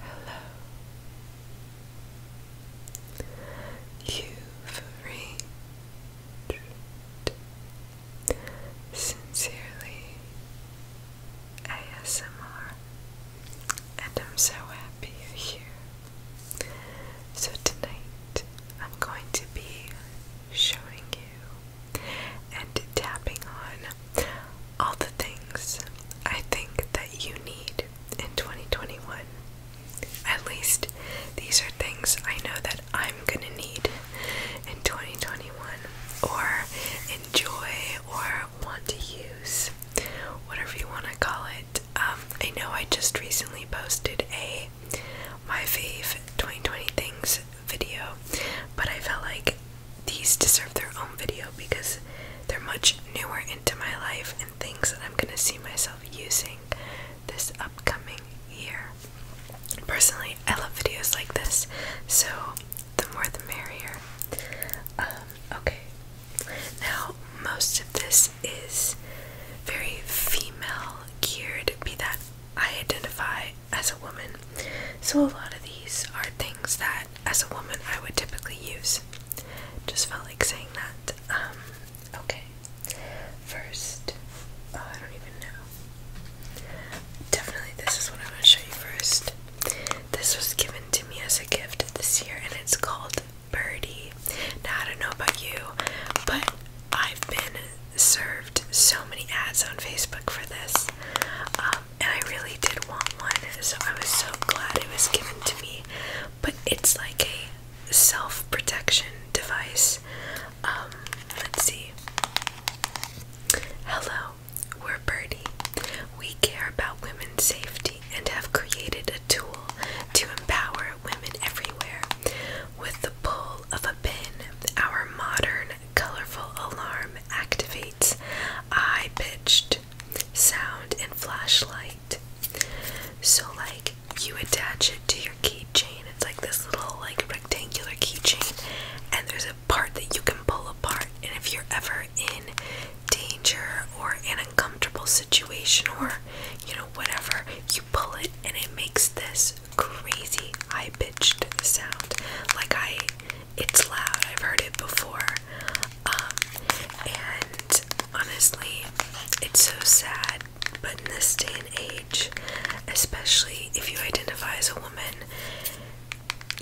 Hello. You've Sincerely ASMR, and I'm so happy you're here. So, tonight I'm going to be showing you and tapping on all the things I think that you need in 2021. At least these are things I know that I'm gonna need in 2021 or enjoy or want to use, whatever you want to call it. Um, I know I just recently posted a my fave 2020 things video, but I felt like these deserve their own video because they're much newer into my life and things that I'm going to see myself using this upcoming year. Personally, I love videos like this, so the more the merrier. Um, okay, now most of this is very female geared, be that I identify as a woman. So, a lot of these are things that, as a woman, I would typically use. Just felt like saying that. Um, okay. First, oh, I don't even know. Definitely, this is what i want to show you first. This was given to me as a gift this year, and it's called Birdie. Now, I don't know about you, but I've been served so many ads on Facebook for this, um, and I really did want one, so I was so glad it was given to me. But it's like a self protection device. Um, let's see. Hello, we're Birdie. We care about women's safety and have created a tool to empower women everywhere. With the pull of a pin, our modern colorful alarm activates high pitched sound and flashlight. So, like, you attach it to your keychain. It's like this little, like, rectangular keychain, and there's a part that you can pull apart. And if you're ever in danger or an uncomfortable situation or, you know, whatever, you pull it and it makes this crazy high pitched sound. Like I, it's loud. I've heard it before. Um, and honestly, it's so sad. But in this day and age, especially if you identify as a woman,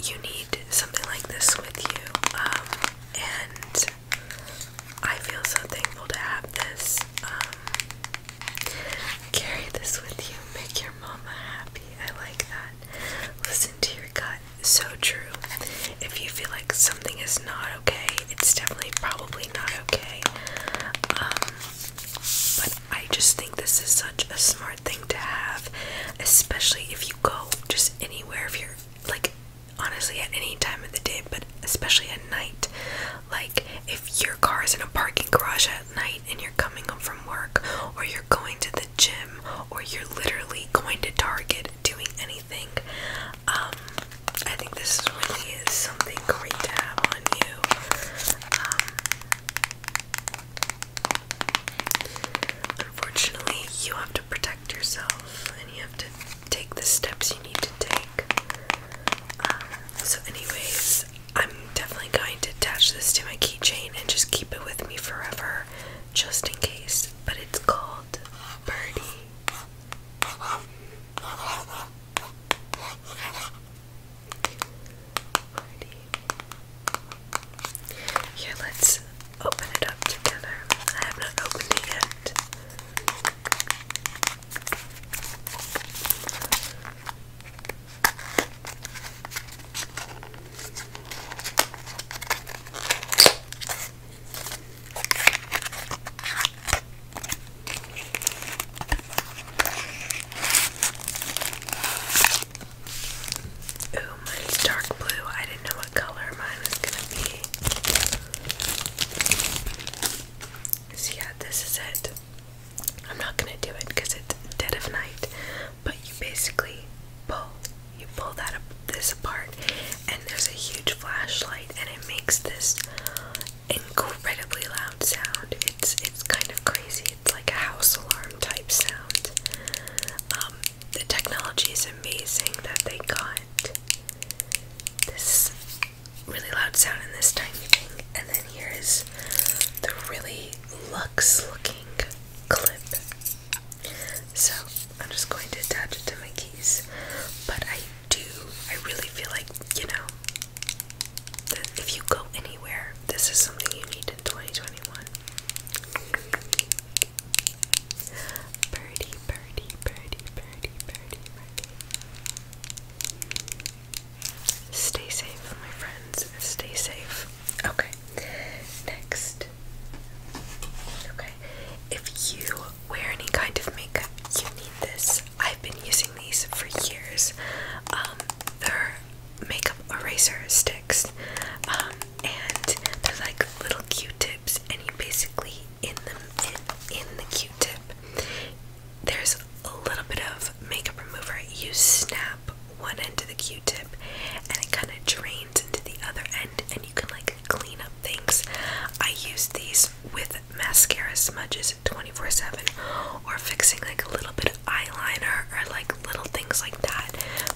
you need something like this with you. Um, and I feel so thankful to have this. Um, Carry this with you. Make your mama happy. I like that. Listen to your gut. So true. If you feel like something is not okay, it's definitely probably not okay. Um, but I just think this is such a smart thing to have, especially if you go just anywhere. If you're like, honestly, at any time of the day, but especially at night. Like, if your car is in a parking garage at night and you're coming home from work, or you're going to the gym, or you're literally going to Target doing anything, um, I think this really is something great to have on you. Um, unfortunately, you have to protect yourself and you have to take the steps you need to take. Um, so, anyways, I'm definitely going to attach this to my keychain and just keep it with me forever, just in case. But it's called Birdie. Birdie. Here, let's open it up together. I have not opened it yet. Ooh, mine's dark blue. I didn't know what color mine was gonna be. yeah, this is it. I'm not gonna do it because it's dead of night. But you basically pull, you pull that up, this apart, and there's a huge flashlight, and it makes this incredibly loud sound. It's it's kind of crazy. It's like a house alarm type sound. Um, the technology is amazing that they got. This really loud sound in this tiny thing. And then here is the really luxe looking clip. So I'm just going to attach it to my keys. But I do, I really feel like, you know, if you go anywhere, this is something you need in 2021. Birdie, birdie, birdie, birdie, birdie, birdie. Stay safe, my friends. Stay safe. Okay. Next. Okay. If you wear any kind of makeup, you need this. I've been using these for years. Um, they're makeup eraser sticks. Um, and they're like little Q-tips, and you basically in them in the Q-tip there's a little bit of makeup remover. You snap one end of the Q-tip and it kind of drains into the other end and you can like clean up things. I use these with mascara smudges 24-7 or fixing like a little bit of eyeliner or like little things like that.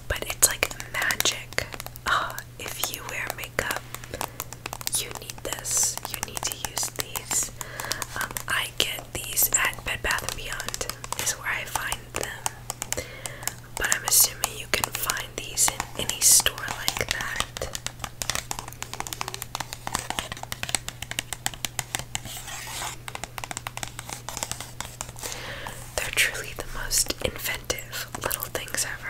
But it's like magic. Ah, if you wear makeup, you need this. You need to use these. Um, I I get these at Bed Bath & Beyond is where I find them. But I'm assuming you can find these in any store like that. They're truly the most inventive little things ever.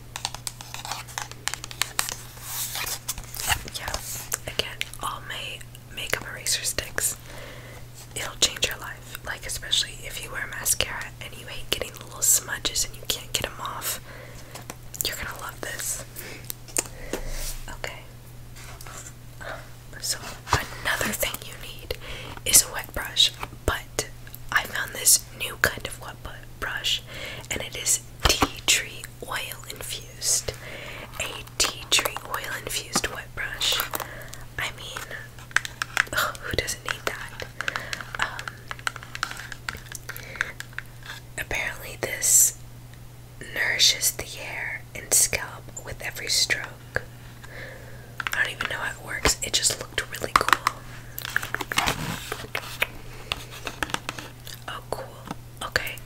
Yeah, again, all my makeup eraser sticks. It'll change your life. Like, especially if you wear mascara and you hate getting little smudges and you can't get them off. You're gonna love this. Okay. So, another thing you need is a wet brush, but I found this new kind of brush, and it is tea tree oil infused. A tea tree oil infused wet brush. I mean, who doesn't need that? Um, apparently, this nourishes the hair and scalp with every stroke. I don't even know how it works, it just looked really cool. Oh, cool. Okay.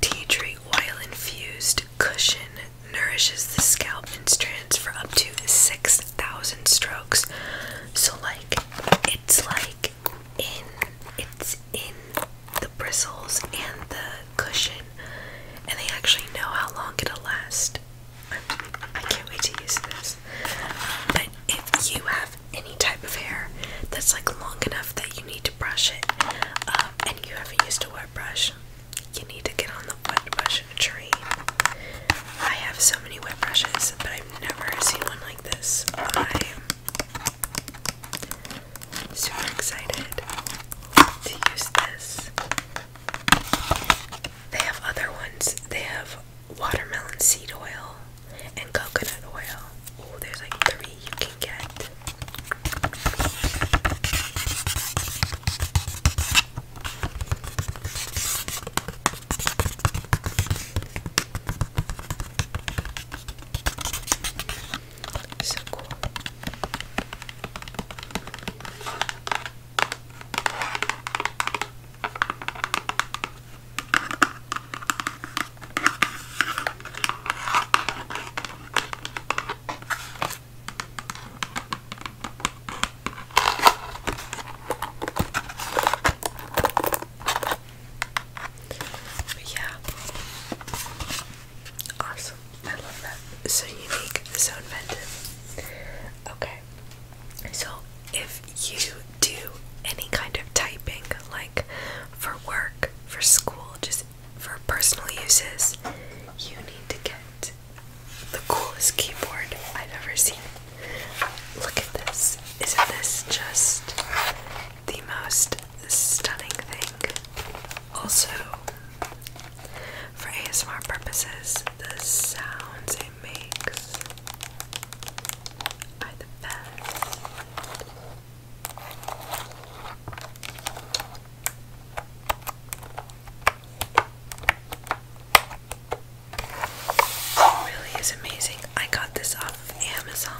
Tea tree oil infused cushion nourishes the scalp and strands for up to 6,000 strokes. So, like, it's like in, it's in the bristles and the cushion, and they actually know how long it'll last. I can't wait to use this. But if you have any type of hair that's like long enough that you need to brush it um, and you haven't used a wet brush, you need to get on the wet brush train. I have so many wet brushes, but I've never seen one like this. I'm super excited to use this. They have other ones. They have watermelon seed oil and coconut oil. Oh, there's like three you can get. So cool yeah, awesome. I love that. So unique, so inventive. Okay, so if you do any kind of typing, like for work, for school, just for personal uses, you need to get the coolest keyboard I've ever seen. Look at this. Isn't this just the most stunning thing? Also, for ASMR purposes, the sounds it makes it really is amazing. I got this off of Amazon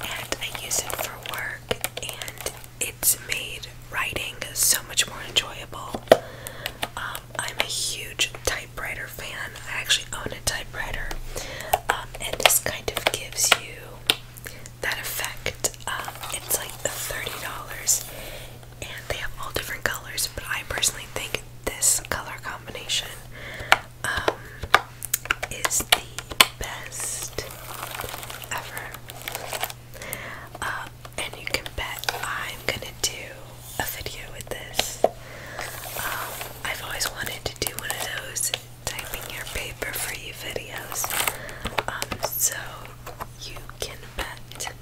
and I use it for work and it's made writing so much more enjoyable. Um, I'm a huge typewriter fan. I actually own a typewriter, um, and this kind of gives you that effect. it's like $30, and they have all different colors, but I personally think this color combination um, is the best ever. Uh, and you can bet I'm gonna do a video with this. Um, I've always wanted to do one of those typing your paper for you videos. Um, so you can bet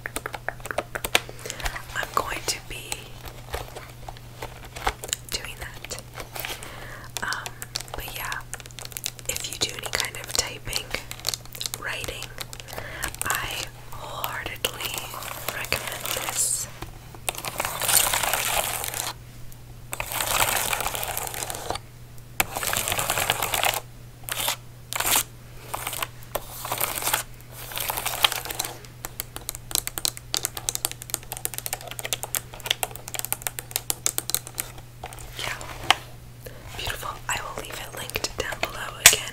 I'm going to be doing that. Um, but yeah, if you do any kind of typing, writing, I wholeheartedly recommend this. Yeah, beautiful. I will leave it linked down below again.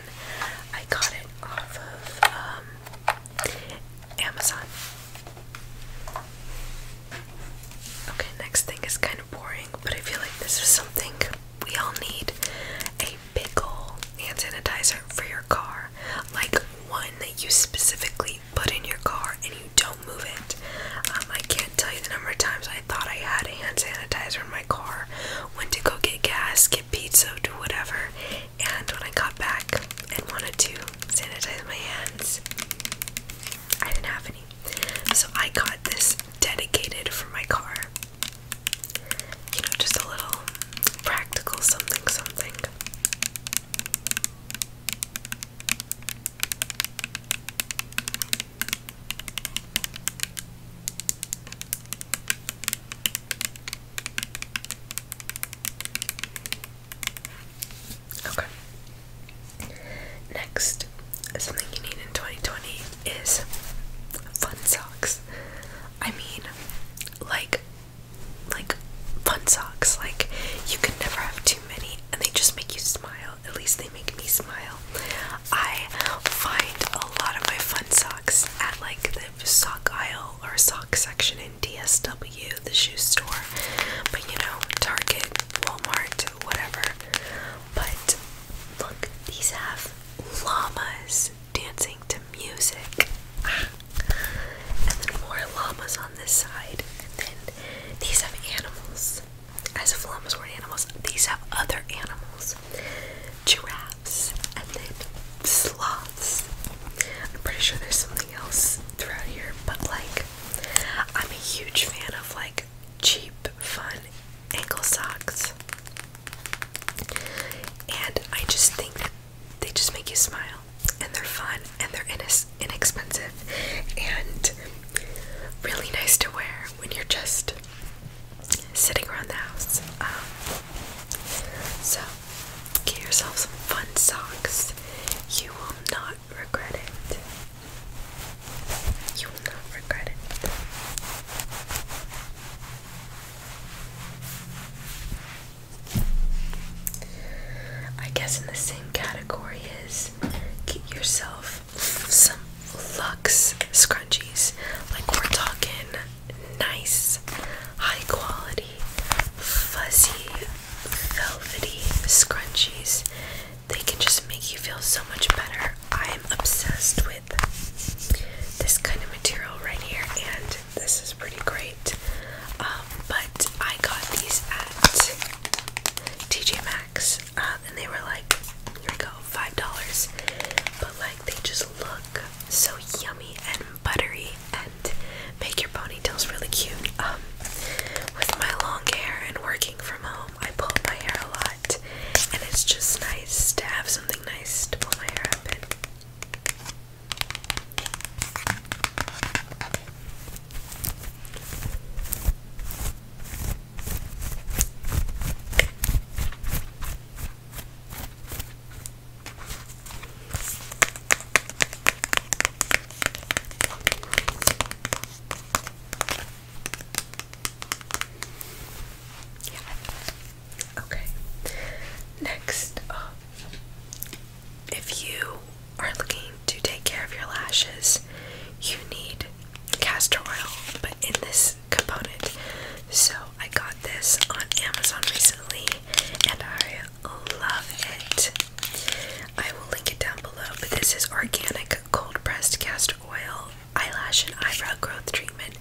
I got it off of um, Amazon. Okay, next thing is kind of boring, but I feel like this is something we all need a big hand sanitizer for your car. Like one that you specifically put in your car and you don't move it. Um, I can't tell you the number of times I thought I had hand sanitizer in my car, went to go get gas, get pizza, do whatever, and when I got back and wanted to sanitize my hands, I didn't have any. So I got this dedicated for my car. You know, just a little practical something something. Okay. Next, something you need in 2020 is fun socks. I mean, like, like fun socks. Like, you can never have too many, and they just make you smile. At least they make me smile. I find a lot of my fun socks at like the sock aisle or sock section in DSW, the shoe store. But you know, Target, Walmart, whatever. But look, these have llamas dancing to music. Ah. And then more llamas on this side. And then these have animals. As if llamas were animals, these have other animals giraffes, and then sloths. I'm pretty sure there's something else throughout here, but like, I'm a huge fan of like cheap, fun ankle socks. And I just think that they just make you smile, and they're fun, and they're inex inexpensive, and really nice to wear when you're just sitting around the house. Um, so get yourself some fun socks. You will not regret it. You will not regret it. I guess in the same category is get yourself some Lux scrunchies. Like we're talking nice, high quality, fuzzy, velvety scrunchies. They can just make you feel so much better. I'm obsessed with this kind of material right here, and this is pretty great. Um, but I got these at TJ Maxx, uh, and they were like, here we go, $5. But like, they just look so yummy and buttery and make your ponytails really cute. Um, with my long hair and working from home, I pull my hair a lot, and it's just nice to have something nice to pull my hair up in. Okay. Next up, um, if you are looking to take care of your lashes, you need castor oil, but in this component. So I got this on Amazon recently and I love it. I will link it down below, but this is organic cold pressed castor oil eyelash and eyebrow growth treatment.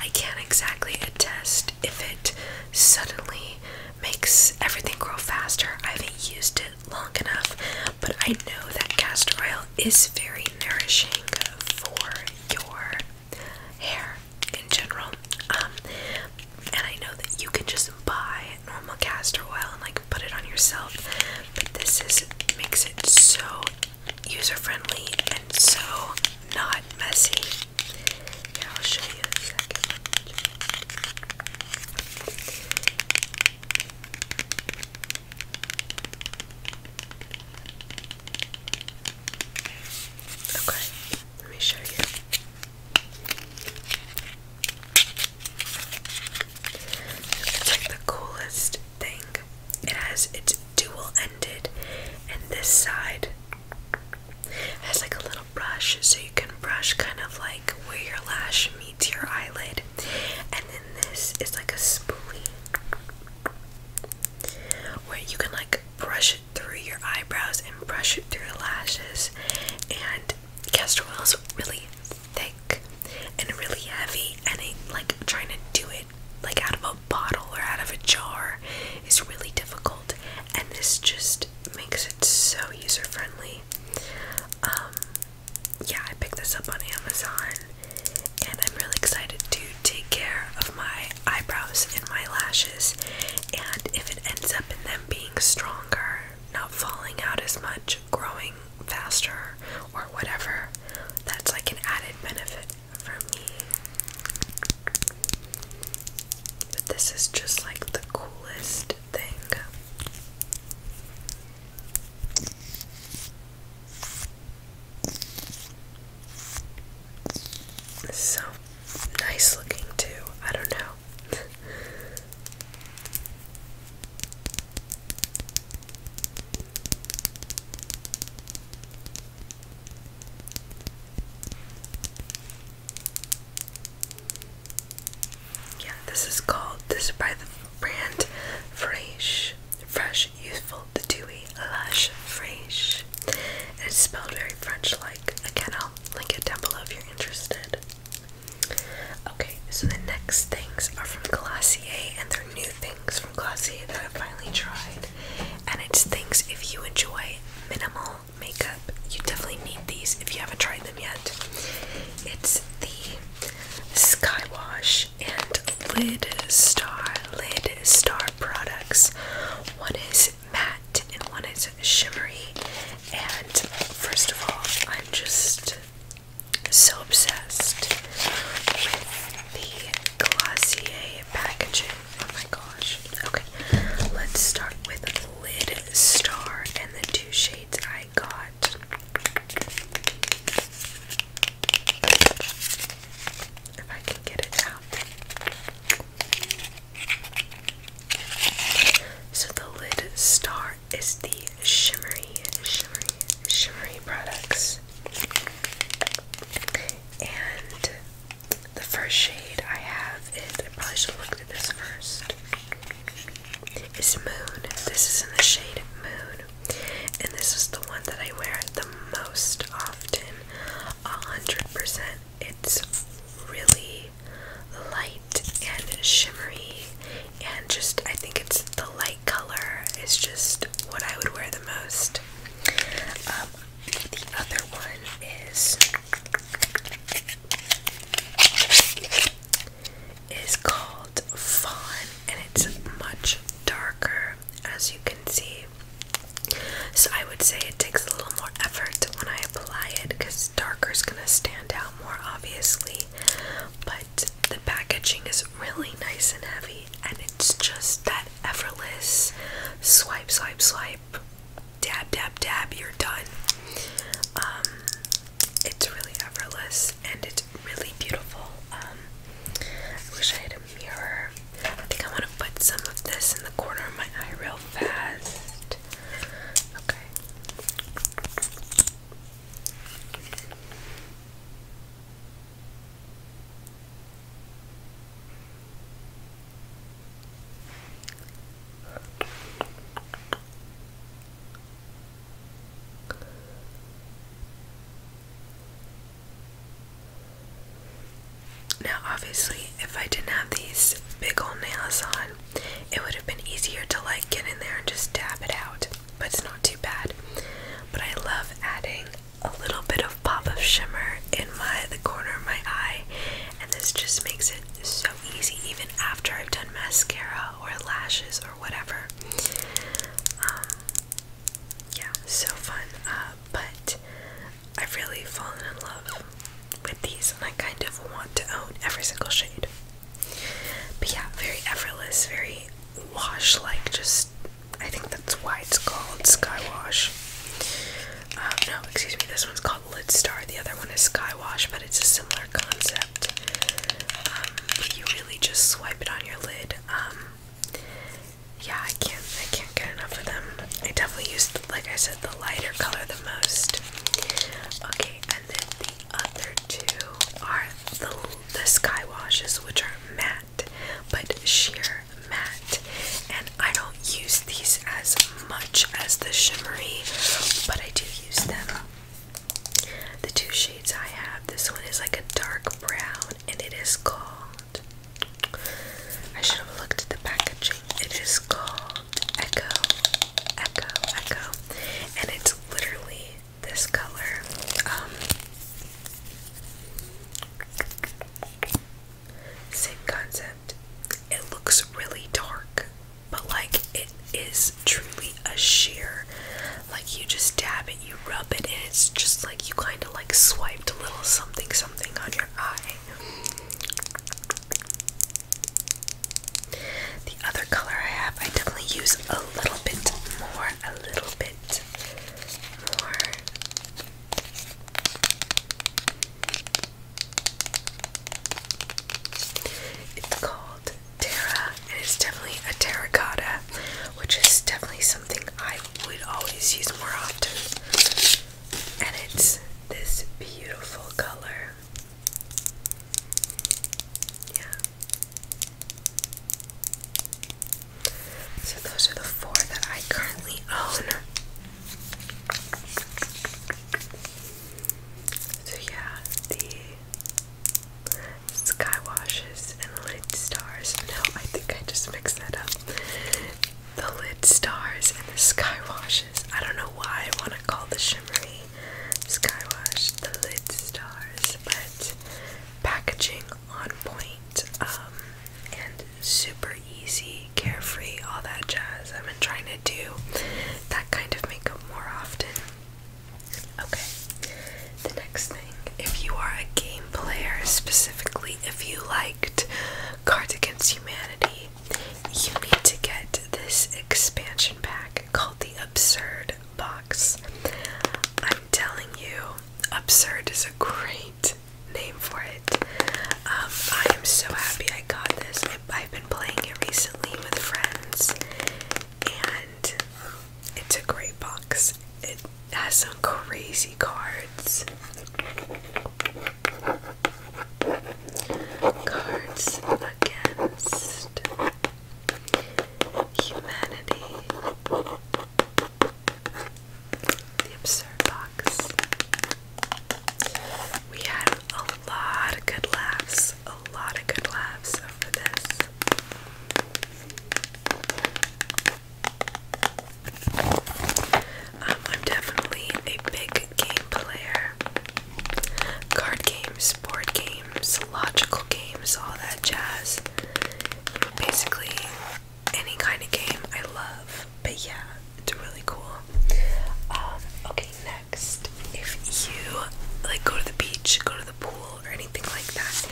I can't exactly attest if it suddenly makes everything grow faster. I haven't used it long enough, but I know that castor oil is very nourishing for your hair in general. Um, and I know that you can just buy normal castor oil and like put it on yourself, but this is makes it so user friendly and so not messy. Yeah, I'll show you Okay, let me show you. It's like the coolest thing. It has it's dual ended, and this side has like a little brush, so you can brush kind of like where your lash meets your eyelid, and then this is like a spoolie where you can like brush it through your eyebrows and brush it through your lashes. And castor oil is really thick and really heavy, and like trying to do it like out of a bottle or out of a jar is really difficult. And this just makes it so user friendly. Um, yeah, I picked this up on Amazon and I'm really excited to take care of my eyebrows and my lashes. And if it ends up in them being stronger, not falling out as much, growing faster, or whatever, that's like an added benefit for me. But this is just like the coolest thing. So nice looking, too. I don't know. yeah, this is called, this by the brand Fraiche fresh, youthful, the dewy, lush, fresh. it's spelled very French-like. Again, I'll link it down below if you're interested. Okay, so the next things are from Glossier, and they're new things from Glossier that I have finally tried. And it's things if you enjoy minimal makeup, you definitely need these if you haven't tried them yet. It's the Sky Wash and Lid Star Lid Star products. One is matte and one is shimmery. And first of all, I'm just so obsessed with the Glossier packaging. Oh my gosh. Okay, let's start with Lid Star and the two shades I got. If I can get it out. So the lid star is the shimmery, shimmery, shimmery products. And the first shade I have is I probably should have looked at this first. Is Moon. This is in the shade Moon and this is the one that I wear the most often. A hundred percent. It's really light and shimmery, and just I think it's the light color is just what I would wear the most. Um, the other one is is called Fawn, and it's much darker as you can see. So I would say it takes a little more effort when I apply it because darker is going to stand out more obviously. But the packaging is really nice and heavy and it's just that effortless swipe, swipe, swipe, dab, dab, dab, you're done. Um, it's really effortless and it's really beautiful. Um, I wish I had a mirror. I think I want to put some of this in the corner of my eye real fast. Okay. Now, obviously, if I didn't have these big old nails on, it would have been easier to like get in there and just dab it out, but it's not too bad. But I love adding a little bit of pop of shimmer in my the corner of my eye, and this just makes it so easy even after I've done mascara or lashes or whatever. Um, yeah, so fun. Uh, but I've really fallen in love with these, and I kind of want to own every single shade. But yeah, very effortless, very wash like, just I think that's why it's called Sky Wash. Um, no, excuse me, this one's called Lid Star, the other one is Sky Wash, but it's a similar concept. Um, you really just swipe it on your lid um, yeah, I can't, I can't get enough of them. I definitely use, like I said, the lighter color the most. Okay, and then the other two are the the sky washes, which are matte, but sheer matte. And I don't use these as much as the shimmery, but I do use them the two shades I have, this one is like a dark brown and it is called I should have looked at the packaging. It is called Echo. Echo, Echo. And it's literally this color. Um, same concept. It looks really dark, but like it is truly a sheer. Like you just dab it, you rub it, and it's just like you kind of like swiped a little something something on your eye. The other color I have, I definitely use a little bit more, a little bit more. It's called Terra, and it's definitely a terracotta, which is definitely something I would always use more often. And it's this beautiful color. Yeah. So those are the four that I currently own. So yeah, the sky washes and lid stars. No, I think I just mixed that up. The lid stars and the sky washes. I don't know why I want to call the shimmery sky wash the lid stars, but packaging on point um, and super easy, carefree, all that jazz. I've been trying to do that kind of makeup more often. Okay, the next thing if you are a game player, specifically if you liked Cards Against Humanity, you need to get this expansion pack called the Absurd Box. I'm telling you, Absurd is a great name for it. Um, I am so happy I got this. I, have been playing it recently with friends, and it's a great box. It has some crazy cards. Cards against humanity. The absurd box. We had a lot of good laughs. A lot of good laughs over this. Um, I'm definitely a big game player. Card games, board games, logical games, all that jazz. Basically, any kind of game I love. But yeah, it's really cool. Um, okay, if you like go to the beach, go to the pool, or anything like that,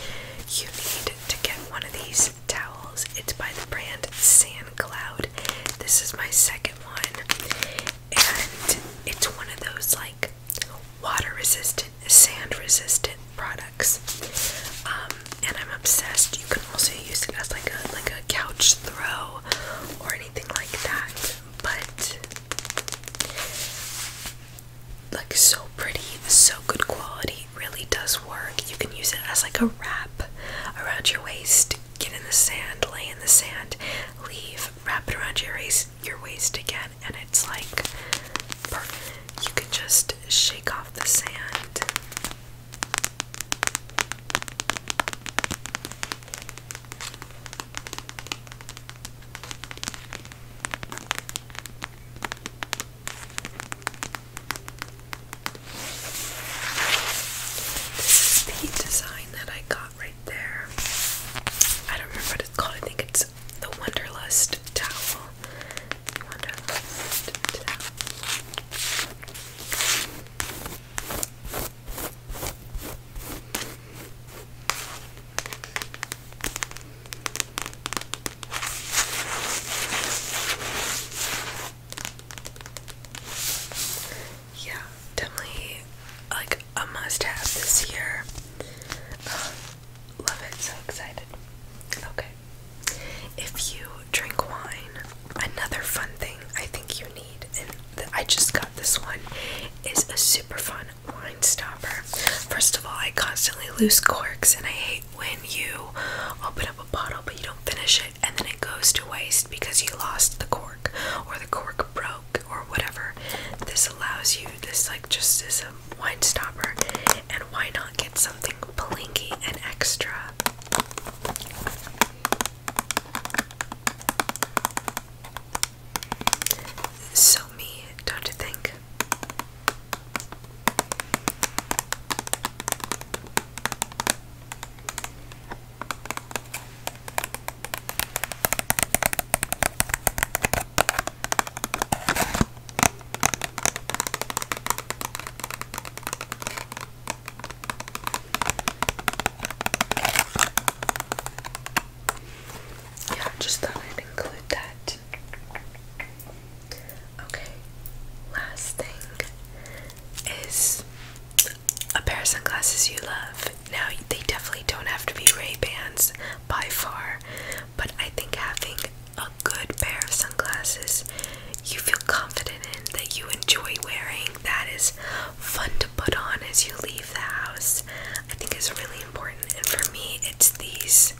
you need to get one of these towels. It's by the brand Sand Cloud. This is my second one, and it's one of those like water resistant, sand resistant products. Um, and I'm obsessed. You can also use it as like a like a couch throw or anything like that. But like so pretty, so good quality, really does work. You can use it as like a wrap around your waist. Get in the sand, lay in the sand, leave, wrap it around your waist, your waist again, and it's like You can just shake off the sand. This is the design that I got right there. I don't remember what it's called. I think it's the Wonderlust towel. Wonderlust towel. Yeah, definitely like a must have this year. Uh, love it, so excited. Okay. If you drink wine, another fun thing I think you need, and I just got this one, is a super fun wine stopper. First of all, I constantly lose corks, and I hate when you open up a bottle but you don't finish it and then it goes to waste because you lost the cork or the cork broke or whatever. This allows you, this like just is a wine stopper, and why not get something blinky and extra? So me, don't you think? yeah, just thought I'd include that. Okay, last thing is a pair of sunglasses you love. Now, they definitely don't have to be Ray-Bans by far, but I think having a good pair of sunglasses you feel confident in that you enjoy wearing, that is fun to put on as you leave the house. I think is really important, and for me, it's these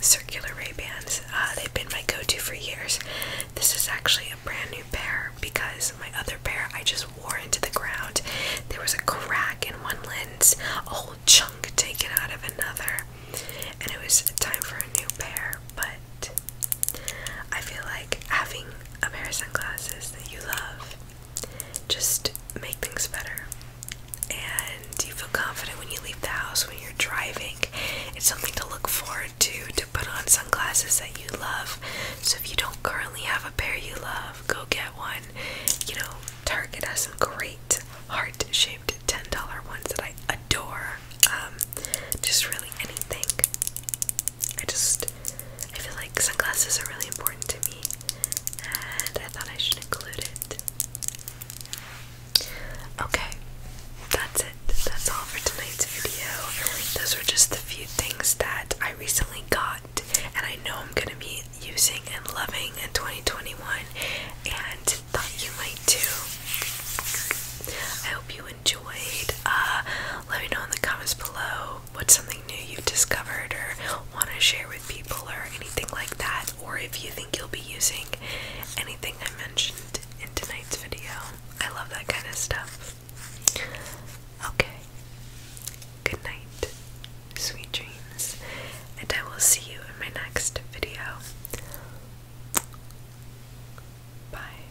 circular Ray bands. Uh, they've been my go-to for years. This is actually a brand new pair because my other pair I just wore into the ground. There was a crack in one lens, a whole chunk taken out of another, and it was time for a new pair. But I feel like having a pair of sunglasses that you love just make things better. And you feel confident when you leave the house, when you're driving. It's something to look forward to, to put on sunglasses that you love. So if you don't currently have a pair you love, go get one. You know, Target has some great heart shaped $10 ones that I adore. Um, just really anything. I just I feel like sunglasses are really important to me and I thought I should include it. Okay, that's it. That's all for tonight's video. Those were just the few things that I recently got and I know I'm gonna be using and loving in 2021 and thought you might too. I hope you enjoyed. Uh, let me know in the comments below what's something new you've discovered or want to share with people or anything like that, or if you think you'll be using anything I mentioned in tonight's video. I love that kind of stuff. Okay. Good night. Sweet dreams. And I will see you in my next video. Bye.